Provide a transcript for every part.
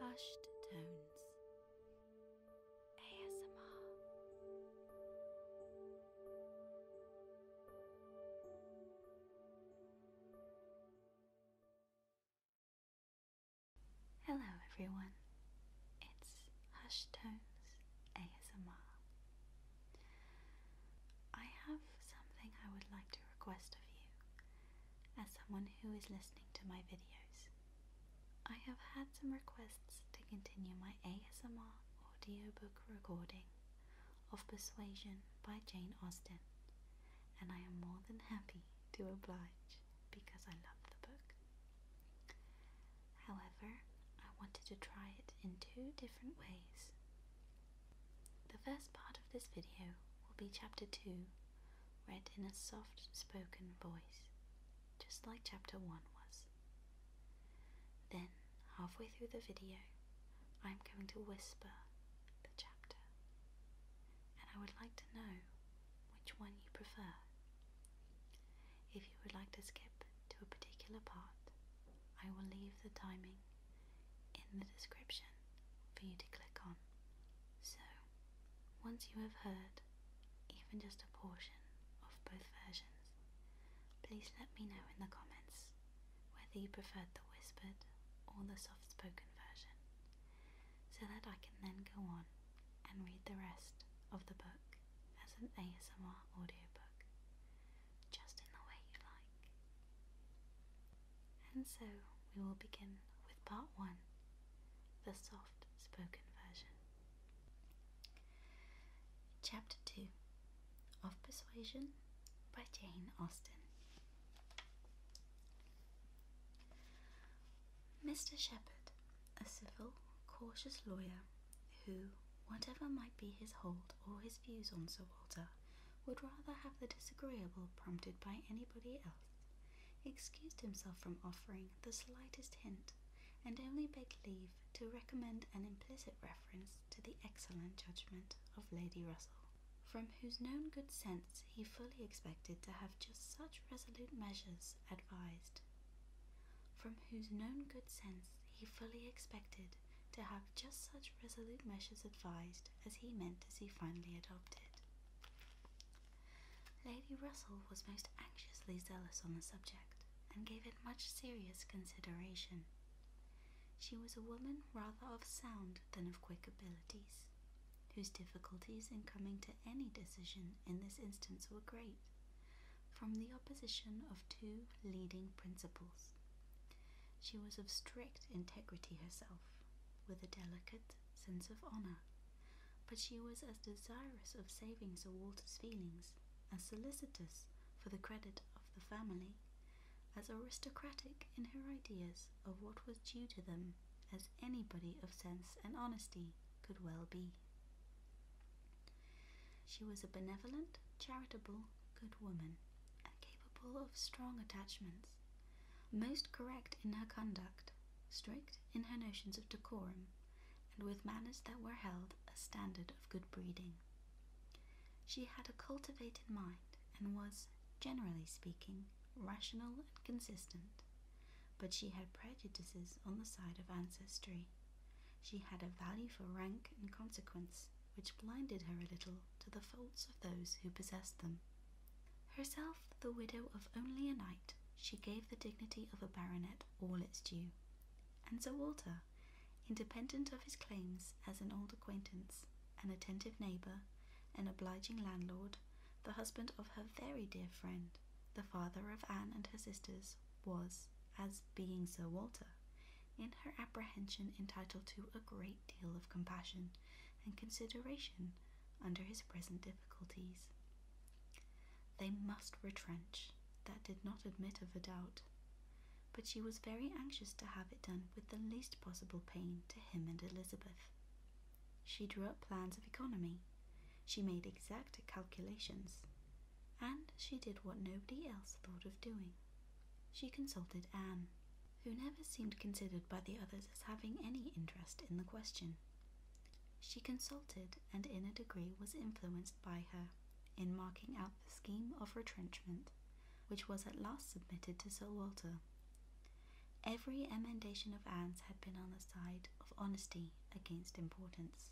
Hushed Tones ASMR. Hello, everyone. It's Hushed Tones ASMR. I have something I would like to request of you as someone who is listening to my videos. I have had some requests to continue my ASMR audiobook recording of Persuasion by Jane Austen, and I am more than happy to oblige because I love the book. However, I wanted to try it in two different ways. The first part of this video will be chapter 2, read in a soft spoken voice, just like chapter 1 was. Then, halfway through the video, I'm going to whisper the chapter, and I would like to know which one you prefer. If you would like to skip to a particular part, I will leave the timing in the description for you to click on. So, once you have heard even just a portion of both versions, please let me know in the comments whether you preferred the whispered or the soft spoken version, so that I can then go on and read the rest of the book as an ASMR audiobook, just in the way you like. And so we will begin with part one, the soft spoken version. Chapter 2 of Persuasion by Jane Austen. Mr. Shepherd, a civil, cautious lawyer, who, whatever might be his hold or his views on Sir Walter, would rather have the disagreeable prompted by anybody else, excused himself from offering the slightest hint, and only begged leave to recommend an implicit reference to the excellent judgment of Lady Russell, from whose known good sense he fully expected to have just such resolute measures advised. From whose known good sense he fully expected to have just such resolute measures advised as he meant as he finally adopted. Lady Russell was most anxiously zealous on the subject, and gave it much serious consideration. She was a woman rather of sound than of quick abilities, whose difficulties in coming to any decision in this instance were great, from the opposition of two leading principles. She was of strict integrity herself, with a delicate sense of honor, but she was as desirous of saving Sir Walter's feelings, as solicitous for the credit of the family, as aristocratic in her ideas of what was due to them as anybody of sense and honesty could well be. She was a benevolent, charitable, good woman, and capable of strong attachments, most correct in her conduct, strict in her notions of decorum, and with manners that were held a standard of good breeding. She had a cultivated mind and was, generally speaking, rational and consistent, but she had prejudices on the side of ancestry. She had a value for rank and consequence which blinded her a little to the faults of those who possessed them. Herself the widow of only a knight, she gave the dignity of a baronet all its due, and Sir Walter, independent of his claims as an old acquaintance, an attentive neighbour, an obliging landlord, the husband of her very dear friend, the father of Anne and her sisters, was, as being Sir Walter, in her apprehension entitled to a great deal of compassion and consideration under his present difficulties. They must retrench, that did not admit of a doubt. But she was very anxious to have it done with the least possible pain to him and Elizabeth. She drew up plans of economy, she made exact calculations, and she did what nobody else thought of doing. She consulted Anne who never seemed considered by the others as having any interest in the question. She consulted and in a degree was influenced by her in marking out the scheme of retrenchment, which was at last submitted to Sir Walter. Every emendation of Anne's had been on the side of honesty against importance.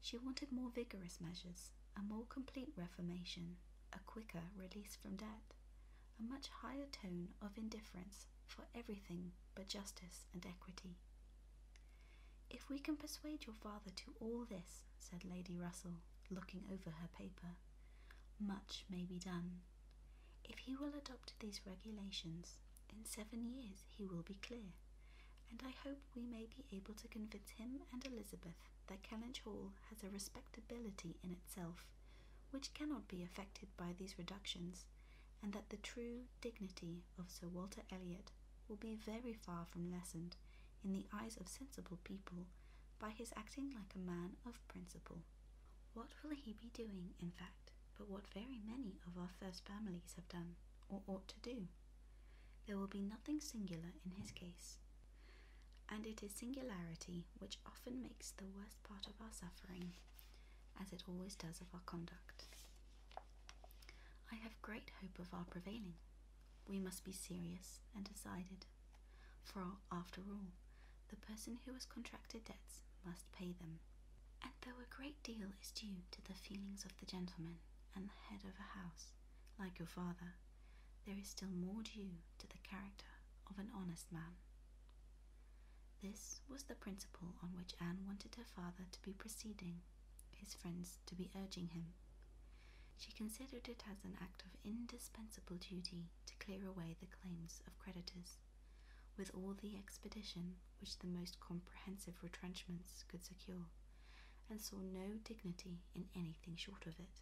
She wanted more vigorous measures, a more complete reformation, a quicker release from debt, a much higher tone of indifference for everything but justice and equity. If we can persuade your father to all this, said Lady Russell, looking over her paper, much may be done. If he will adopt these regulations, in seven years he will be clear, and I hope we may be able to convince him and Elizabeth that Kellynch Hall has a respectability in itself which cannot be affected by these reductions, and that the true dignity of Sir Walter Elliot will be very far from lessened in the eyes of sensible people by his acting like a man of principle. What will he be doing, in fact, but what very many of our first families have done, or ought to do? There will be nothing singular in his case, and it is singularity which often makes the worst part of our suffering, as it always does of our conduct. I have great hope of our prevailing. We must be serious and decided, for after all, the person who has contracted debts must pay them. And though a great deal is due to the feelings of the gentleman and the head of a house, like your father, there is still more due to the character of an honest man. This was the principle on which Anne wanted her father to be proceeding, his friends to be urging him. She considered it as an act of indispensable duty to clear away the claims of creditors, with all the expedition which the most comprehensive retrenchments could secure, and saw no dignity in anything short of it.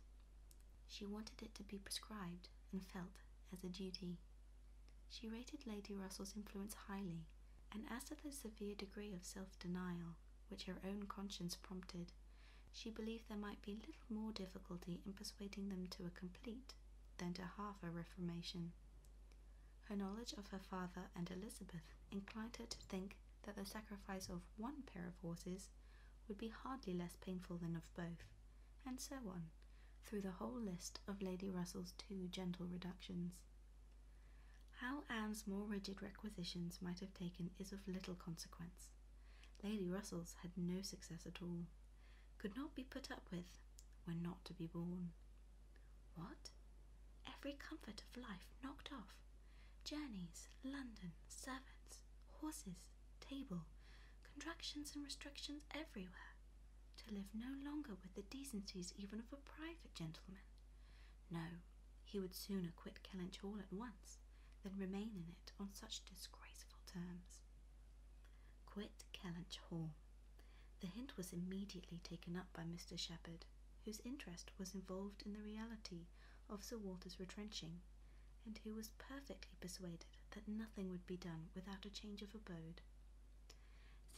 She wanted it to be prescribed and felt as a duty. She rated Lady Russell's influence highly, and as to the severe degree of self denial which her own conscience prompted, she believed there might be little more difficulty in persuading them to a complete than to half a reformation. Her knowledge of her father and Elizabeth inclined her to think that the sacrifice of one pair of horses would be hardly less painful than of both and so on, through the whole list of Lady Russell's two gentle reductions. How Anne's more rigid requisitions might have taken is of little consequence. Lady Russell's had no success at all, could not be put up with, were not to be borne. What? Every comfort of life knocked off. Journeys, London, servants, horses, table, contractions and restrictions everywhere, to live no longer with the decencies even of a private gentleman. No, he would sooner quit Kellynch Hall at once than remain in it on such disgraceful terms. Quit Kellynch Hall. The hint was immediately taken up by Mr. Shepherd, whose interest was involved in the reality of Sir Walter's retrenching, and who was perfectly persuaded that nothing would be done without a change of abode.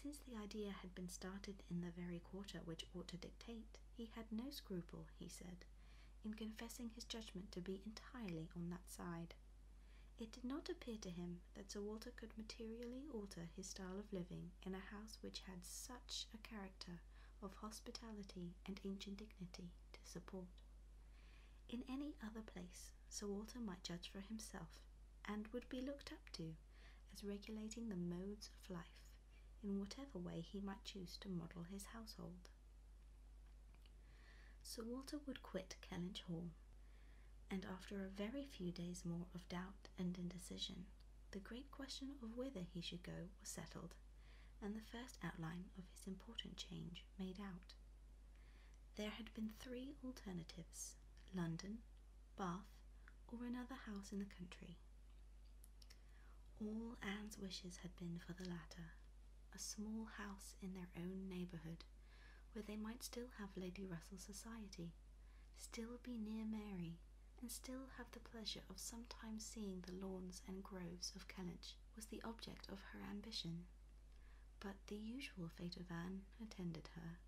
Since the idea had been started in the very quarter which ought to dictate, he had no scruple, he said, in confessing his judgment to be entirely on that side. It did not appear to him that Sir Walter could materially alter his style of living in a house which had such a character of hospitality and ancient dignity to support in any other place, Sir Walter might judge for himself, and would be looked up to as regulating the modes of life in whatever way he might choose to model his household. Sir Walter would quit Kellynch Hall, and after a very few days more of doubt and indecision, the great question of whither he should go was settled, and the first outline of his important change made out. There had been three alternatives London, Bath, or another house in the country. All Anne's wishes had been for the latter a small house in their own neighbourhood, where they might still have Lady Russell's society, still be near Mary, and still have the pleasure of sometimes seeing the lawns and groves of Kellynch, was the object of her ambition. But the usual fate of Anne attended her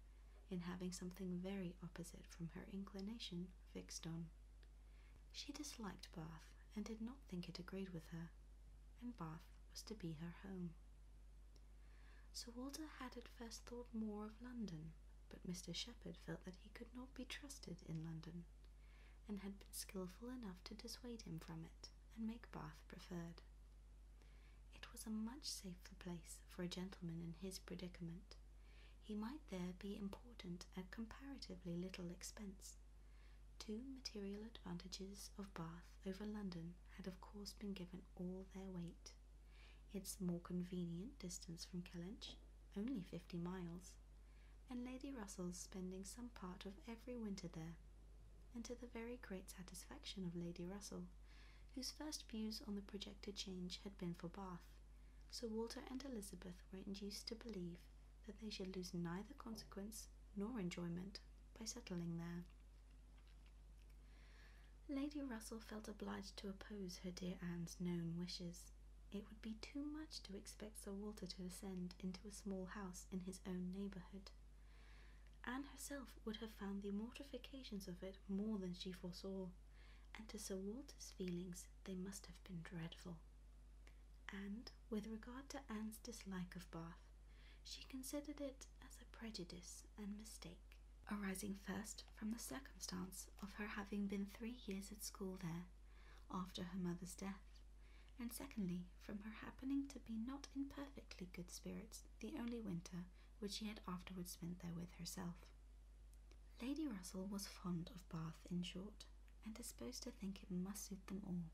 in having something very opposite from her inclination fixed on. She disliked Bath and did not think it agreed with her, and Bath was to be her home. Sir Walter had at first thought more of London, but Mr. Shepherd felt that he could not be trusted in London, and had been skilful enough to dissuade him from it and make Bath preferred. It was a much safer place for a gentleman in his predicament. He might there be important at comparatively little expense. Two material advantages of Bath over London had of course been given all their weight. Its more convenient distance from Kellynch, only fifty miles, and Lady Russell's spending some part of every winter there and to the very great satisfaction of Lady Russell, whose first views on the projected change had been for Bath, Sir Walter and Elizabeth were induced to believe that they should lose neither consequence nor enjoyment by settling there. Lady Russell felt obliged to oppose her dear Anne's known wishes. It would be too much to expect Sir Walter to ascend into a small house in his own neighbourhood. Anne herself would have found the mortifications of it more than she foresaw, and to Sir Walter's feelings they must have been dreadful. And, with regard to Anne's dislike of Bath, she considered it as a prejudice and mistake, arising first from the circumstance of her having been three years at school there after her mother's death, and secondly, from her happening to be not in perfectly good spirits the only winter which she had afterwards spent there with herself. Lady Russell was fond of Bath, in short, and disposed to think it must suit them all.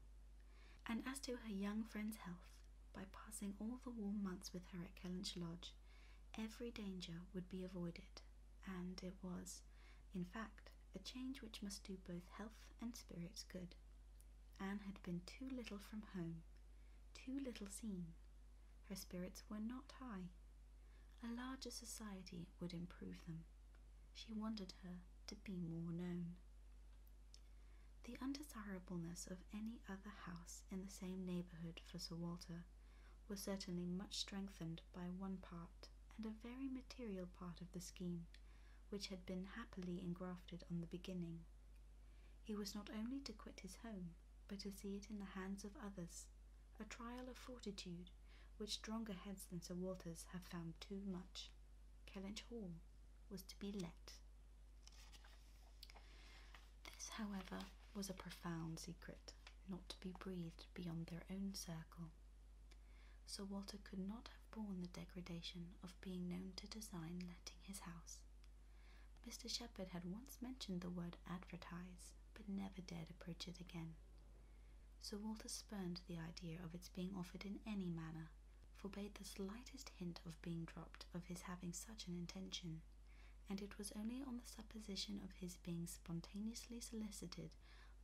And as to her young friend's health, by passing all the warm months with her at Kellynch Lodge, every danger would be avoided, and it was, in fact, a change which must do both health and spirits good. Anne had been too little from home, too little seen. Her spirits were not high. A larger society would improve them. She wanted her to be more known. The undesirableness of any other house in the same neighbourhood for Sir Walter was certainly much strengthened by one part and a very material part of the scheme which had been happily engrafted on the beginning. He was not only to quit his home, but to see it in the hands of others, a trial of fortitude which stronger heads than Sir Walter's have found too much. Kellynch Hall was to be let. This, however, was a profound secret, not to be breathed beyond their own circle. Sir Walter could not have borne the degradation of being known to design letting his house. Mr. Shepherd had once mentioned the word advertise, but never dared approach it again. Sir Walter spurned the idea of its being offered in any manner, forbade the slightest hint of being dropped of his having such an intention, and it was only on the supposition of his being spontaneously solicited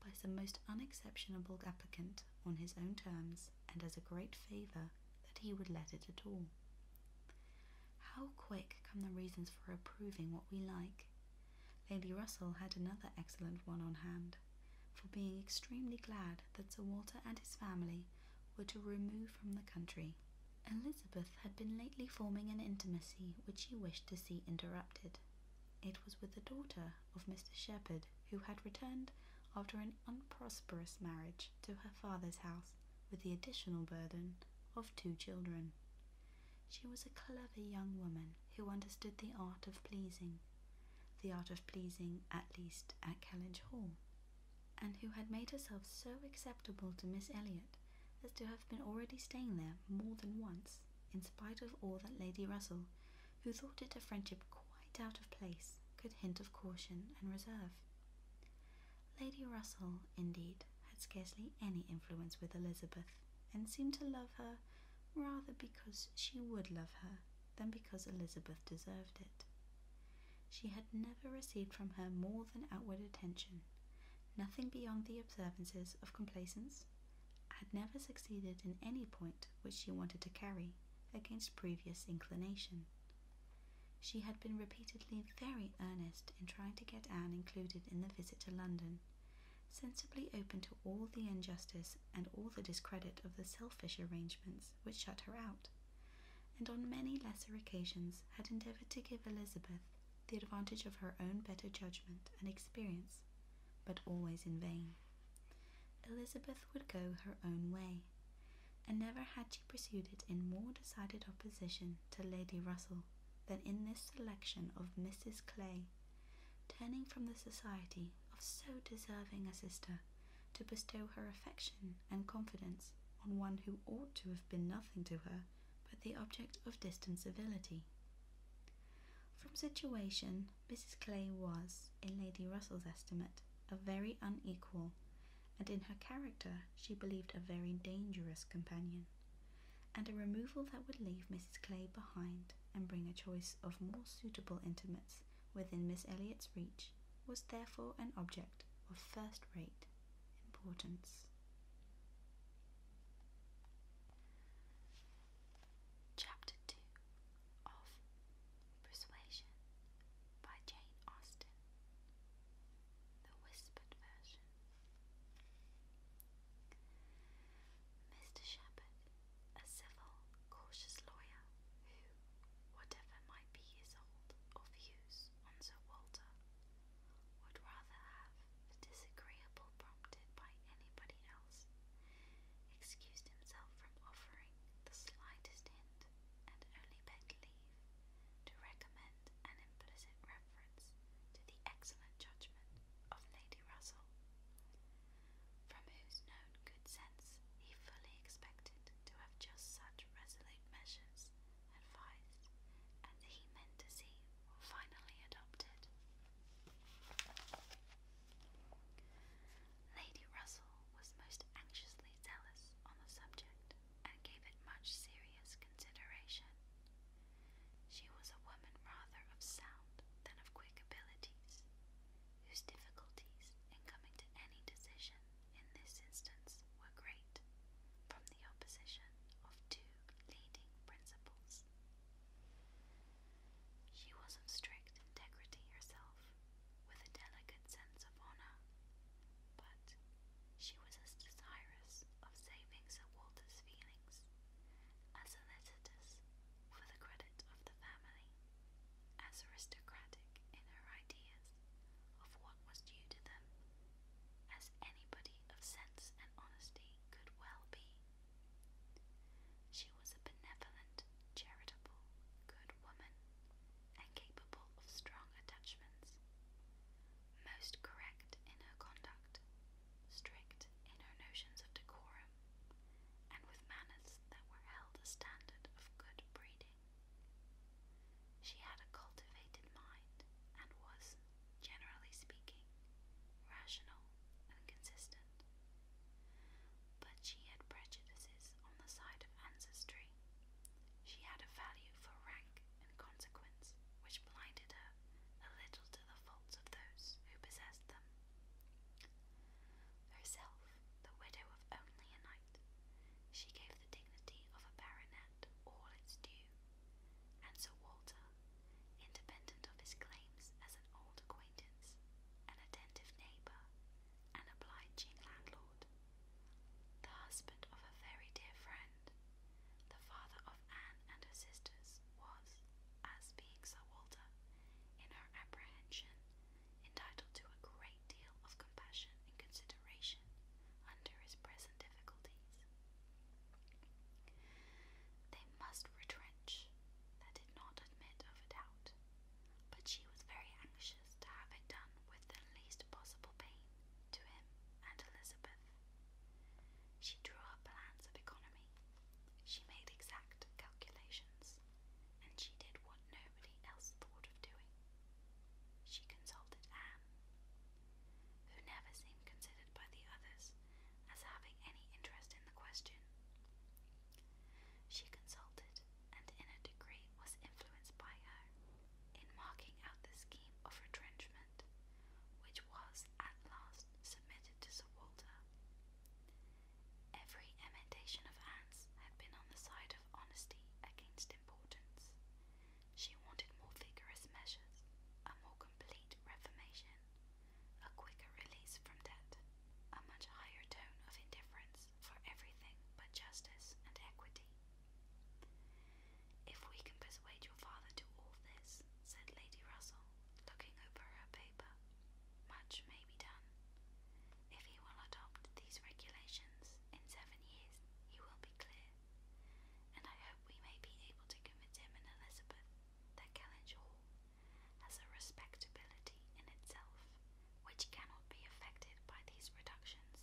by some most unexceptionable applicant on his own terms and as a great favour that he would let it at all. How quick come the reasons for approving what we like! Lady Russell had another excellent one on hand, for being extremely glad that Sir Walter and his family were to remove from the country. Elizabeth had been lately forming an intimacy which she wished to see interrupted. It was with the daughter of Mr. Shepherd, who had returned after an unprosperous marriage to her father's house with the additional burden of two children. She was a clever young woman who understood the art of pleasing, the art of pleasing at least at Kellynch Hall, and who had made herself so acceptable to Miss Elliot as to have been already staying there more than once, in spite of all that Lady Russell who thought it a friendship quite out of place, could hint of caution and reserve. Lady Russell, indeed, had scarcely any influence with Elizabeth, and seemed to love her rather because she would love her than because Elizabeth deserved it. She had never received from her more than outward attention, nothing beyond the observances of complaisance, had never succeeded in any point which she wanted to carry against previous inclination. She had been repeatedly very earnest in trying to get Anne included in the visit to London, sensibly open to all the injustice and all the discredit of the selfish arrangements which shut her out, and on many lesser occasions had endeavoured to give Elizabeth the advantage of her own better judgment and experience, but always in vain. Elizabeth would go her own way, and never had she pursued it in more decided opposition to Lady Russell than in this selection of Mrs. Clay, turning from the society of so deserving a sister to bestow her affection and confidence on one who ought to have been nothing to her but the object of distant civility. From situation Mrs. Clay was, in Lady Russell's estimate, a very unequal, and in her character she believed a very dangerous companion, and a removal that would leave Mrs. Clay behind and bring a choice of more suitable intimates within Miss Elliot's reach was therefore an object of first-rate importance. Chapter 2 of Persuasion by Jane Austen. The Whispered Version. Mr. Shepherd, a civil, cautious lawyer, who, whatever might be his hold or views on Sir Walter, would rather have the disagreeable prompted by anybody else excused himself from offering the slightest hint, and only begged leave to recommend an implicit reference to the excellent judgment of Lady Russell, from whose known good sense he fully expected to have just such resolute measures advised as he meant to see finally adopted. Lady Russell was most anxiously zealous on the subject, and gave it much serious consideration. She was a woman rather of sound than of quick abilities, whose difficulties in coming to any decision in this instance were great, from the opposition of two leading principles. She was of strict integrity herself, with a delicate sense of honor, but she was as desirous of saving Sir Walter's feelings as solicitous for the credit of the family, as aristocratic in her ideas of what was due to them, as anybody of sense and honesty could well be. She was a benevolent, charitable, good woman, and capable of strong attachments, most correct in her conduct, strict in her notions of decorum, and with manners that were held a standard of good breeding. She had a cultivated mind and was, generally speaking, rational and consistent. But she had prejudices on the side of ancestry. She had a value for rank and consequence which blinded her a little to the faults of those who possessed them. Herself, the widow of only a knight, she gave the dignity of a baronet all its due, and Sir Walter, independent of his claims as an old acquaintance, an attentive neighbour, an obliging landlord, the husband of a very dear friend, the father of Anne and her sisters, was, as being Sir Walter, in her apprehension, entitled to a great deal of compassion and consideration under his present difficulties. They must retrench, that did not admit of a doubt but she was very anxious to have it done with the least possible pain to him and Elizabeth. She drew up plans of economy, she made exact calculations, and she did what nobody else thought of doing. She consulted Anne, who never seemed considered by the others as having any interest in the question. She consulted, and in a degree was influenced by her, in marking out the scheme of retrenchment, which was at last submitted to Sir Walter. Every emendation of Anne's had been on the side of honesty against importance. She wanted more vigorous measures, a more complete reformation, a quicker release from debt, a much higher tone of indifference for everything but justice and equity. If we can persuade your father to all this, said Lady Russell, looking over her paper, much may be done. If he will adopt these regulations in seven years, he will be clear, and I hope we may be able to convince him and Elizabeth that Kellynch Hall has a respectability in itself, which cannot be affected by these reductions,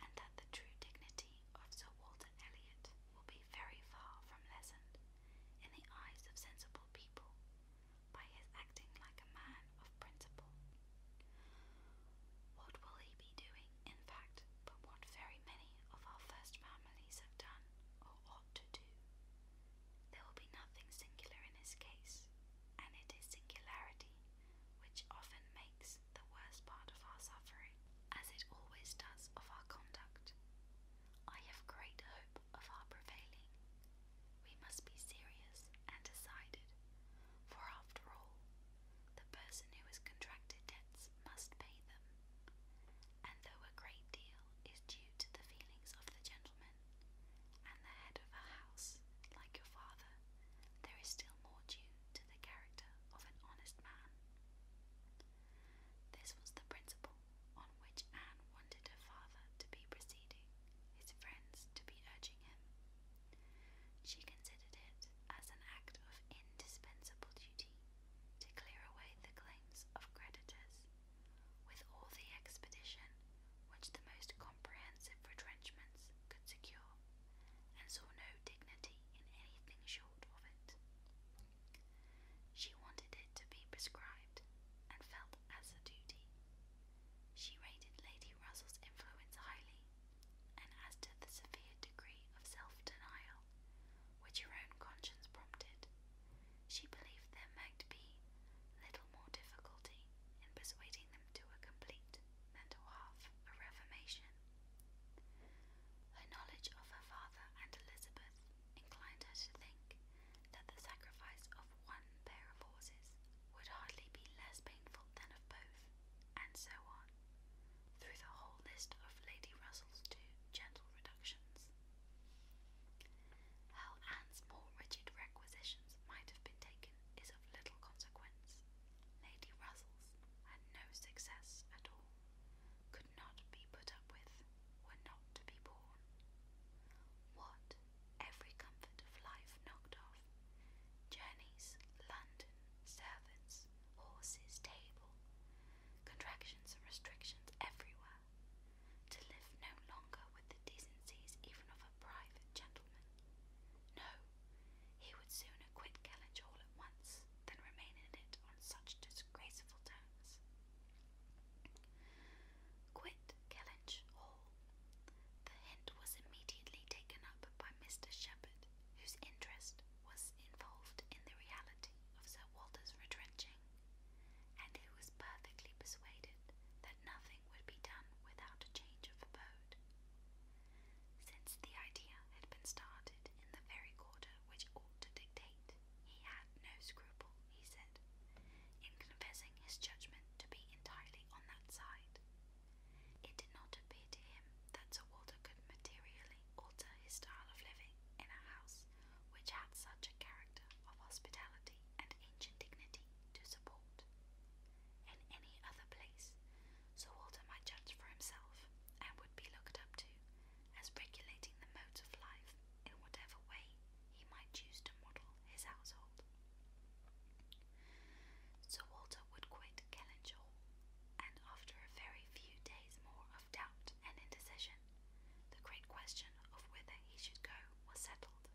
and that the true dignity of Sir Walter Elliot will be very far from lessened in the eyes of sensible people by his acting like a man of principle. What will he be doing, in fact, but what very many of our first families have done, or what to do. There will be nothing singular in his case, and it is singularity which often makes the worst part of our suffering, as it always does of our conduct. I have great hope of our prevailing. We must be serious and decided, for after all, the person who has contracted debts must pay them. And though a great deal is due to the feelings of the gentleman woman, and the head of a house, like your father, there is still more due to the character of an honest man. This was the principle on which Anne wanted her father to be proceeding, his friends to be urging him. She considered it as an act of indispensable duty to clear away the claims of creditors with all the expedition which the most comprehensive retrenchments could secure, and saw no dignity in anything short of it. She wanted it to be prescribed, and felt as a duty. She rated Lady Russell's influence highly, and as to the severe degree of self denial which her own conscience prompted, she believed there might be little more difficulty in persuading them to a complete than to half a reformation. Her knowledge of her father and Elizabeth inclined her to think that the sacrifice of one pair of horses would hardly be less painful than of both, and so on, through the whole list of Lady Russell's two gentle reductions. How Anne's more rigid requisitions might have been taken is of little consequence. Lady Russell's had no success at all, could not be put up with, were not to be borne. What every comfort of life knocked off journeys, London, servants, horses, table, contractions and restrictions everywhere to live no longer with the decencies even of a private gentleman. No, he would sooner quit Kellynch Hall at once than remain in it on such disgraceful terms. Quit Kellynch Hall. The hint was immediately taken up by Mr. Shepherd, whose interest was involved in the reality of Sir Walter's retrenching and he was perfectly persuaded that nothing would be done without a change of abode. Since the idea had been started in the very quarter which ought to dictate, he had no scruple, he said, in confessing his judgment to be entirely on that side. It did not appear to him that Sir Walter could materially alter his style of living in a house which had such a character of hospitality and ancient dignity to support. In any other place, Sir Walter might judge for himself, and would be looked up to as regulating the modes of life in whatever way he might choose to model his household. Sir Walter would quit Kellynch Hall, and after a very few days more of doubt and indecision, the great question of whether he should go was settled,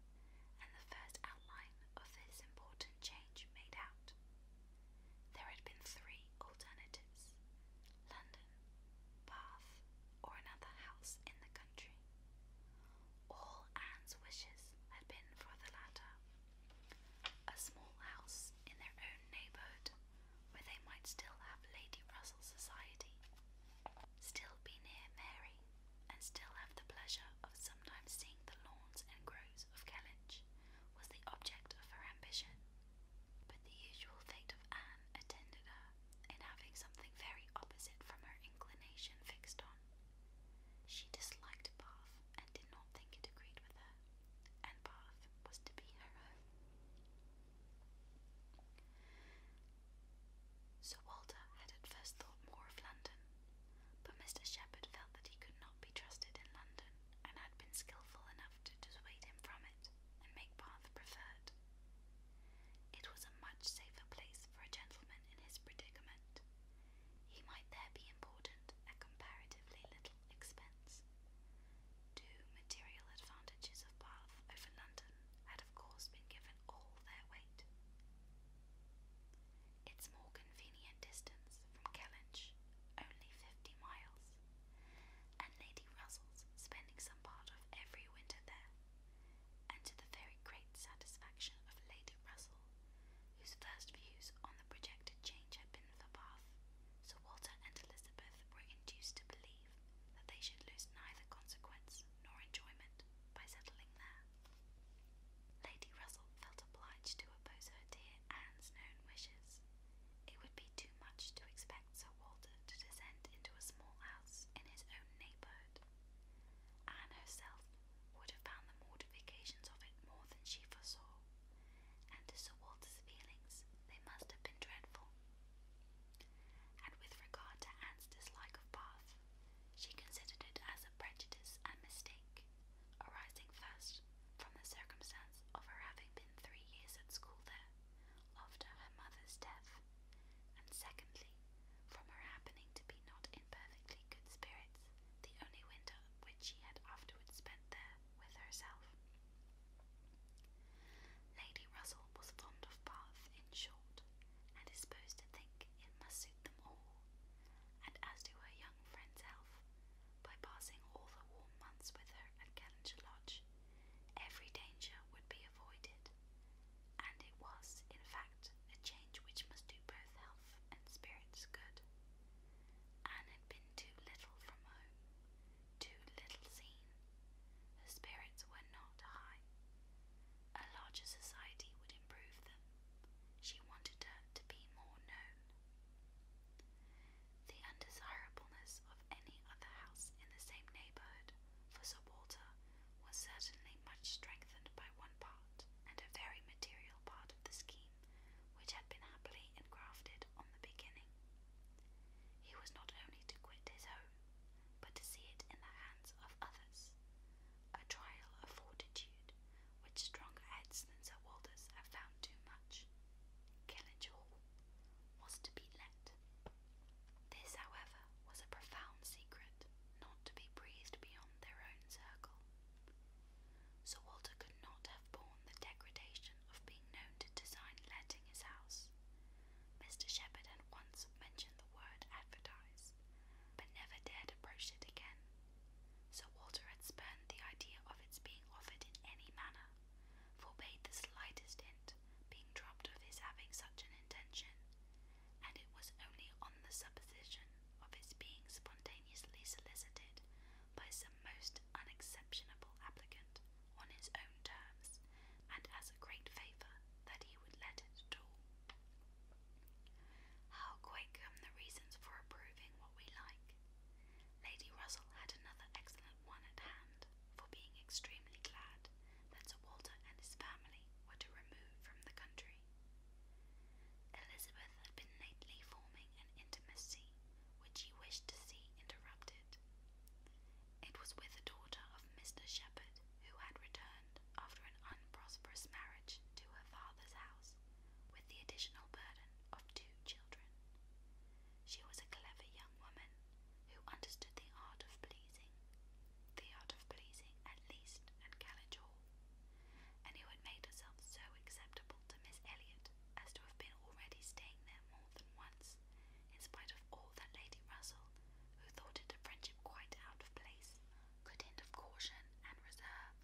and the first outline of this important change made out. There had been three alternatives London, Bath, or another house in the country. All Anne's wishes had been for the latter a small house in their own neighbourhood where they might still have Lady Russell's society, still be near Mary, and still have the pleasure of sometimes seeing the lawns and groves of Kellynch, was the object of her ambition. But the usual fate of Anne attended her in having something very opposite from her inclination fixed on. She disliked Bath and did not think it agreed with her, and Bath was to be her home. Sir Walter had at first thought more of London, but Mr. Shepherd felt that he could not be trusted in London, and had been skilful enough to dissuade him from it and make Bath preferred. It was a much safer place for a gentleman in his predicament. He might there be important at comparatively little expense. Two material advantages of Bath over London had of course been given all their wait. Its more convenient distance from Kellynch, only fifty miles, and Lady Russell's spending some part of every winter there, and to the very great satisfaction of Lady Russell, whose first views on the projected change had been for Bath, Sir Walter and Elizabeth were induced to believe believe that they should lose neither consequence nor enjoyment by settling there. Lady Russell felt obliged to oppose her dear Anne's known wishes. It would be too much to expect Sir Walter to descend into a small house in his own neighbourhood. Anne herself would have found the mortifications of it more than she foresaw, and to Sir Walter's feelings they must have been dreadful. And with regard to Anne's dislike of Bath, she considered it as a prejudice and mistake, arising first from the circumstance of her having been three years at school there after her mother's death, and secondly, from her happening to be not in perfectly good spirits the only winter which she had afterwards spent there with herself. Lady Russell was fond of Bath, in short, and is supposed to think it must suit them all, and as to her young friend's health, by passing all the warm months with her at Callender Lodge, every danger would be avoided, and it was, in fact, a change which must do both health and spirits good. Anne had been too little from home, too little seen. Her spirits were not high a larger society would improve them. She wanted her to be more known. The undesirableness of any other house in the same neighbourhood for Sir Walter was certainly much strengthened by one part, and a very material part of the scheme, which had been happily engrafted on the beginning. He was not only to quit his home, but to see it in the hands of others. A trial of fortitude, which stronger heads than Sir Walter's have found too much. Kellynch was to be let. This, however, was a profound secret, not to be breathed beyond their own circle. Sir Walter could not have borne the degradation of being known to design letting his house, Mr. Shepherd had once mentioned the word advertise, but never dared approach it again. Sir Walter had spurned the idea of its being offered in any manner, forbade the slightest hint being dropped of his having such an intention, and it was only on the supposition of its being spontaneously solicited by some most unexceptionable applicant on his own terms and as a great favour that he would let it all. How quick come the reasons for approving what we like! Lady Russell had another excellent one at hand for being extremely glad that Sir Walter and his family were to remove from the country. Elizabeth had been lately forming an intimacy which she wished to see interrupted. It was with the daughter of Mr. Shepherd, who had returned after an unprosperous marriage to her father's house, with the additional burden of two children. She was a clever young woman who understood the art of pleasing, the art of pleasing at least at Kellynch and who had made herself so acceptable to Miss Elliot as to have been already staying there more than once, in spite of all that Lady Russell who thought it a friendship quite out of place, could hint of caution and reserve.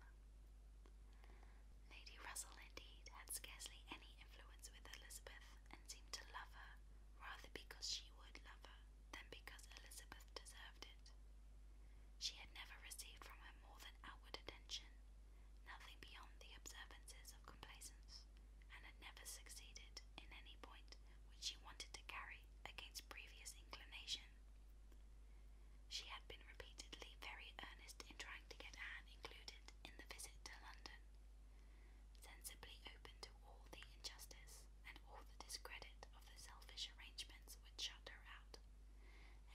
Lady Russell, indeed, had scarcely any influence with Elizabeth, and seemed to love her rather because she would love her than because Elizabeth deserved it. She had never received from her more than outward attention, nothing beyond the observances of complaisance, and had never succeeded, in any point, which she wanted to carry against previous inclination. She had been repeatedly very earnest in trying to get Anne included in the visit to London, sensibly open to all the injustice and all the discredit of the selfish arrangements which shut her out,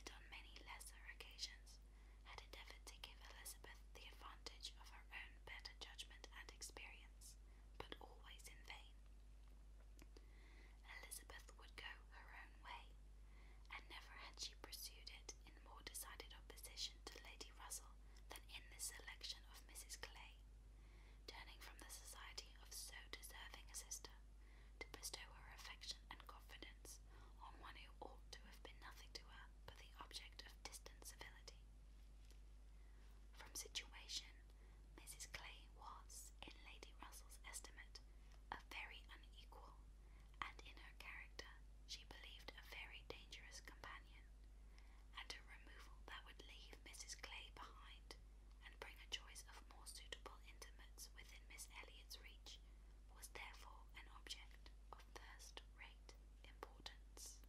and on many lesser occasions had endeavoured to give Elizabeth the advantage of her own better judgment and experience but always in vain. Elizabeth would go her own way, and never had she pursued it in more decided opposition to Lady Russell than in the selection of Mrs. Clay, turning from the society of so deserving a sister to bestow her affection and confidence on one who ought to have been nothing to her but the object of distant civility. From situation Mrs. Clay was, in Lady Russell's estimate, a very unequal, and in her character she believed a very dangerous companion, and a removal that would leave Mrs. Clay behind and bring a choice of more suitable intimates within Miss Elliot's reach was therefore an object of first-rate importance.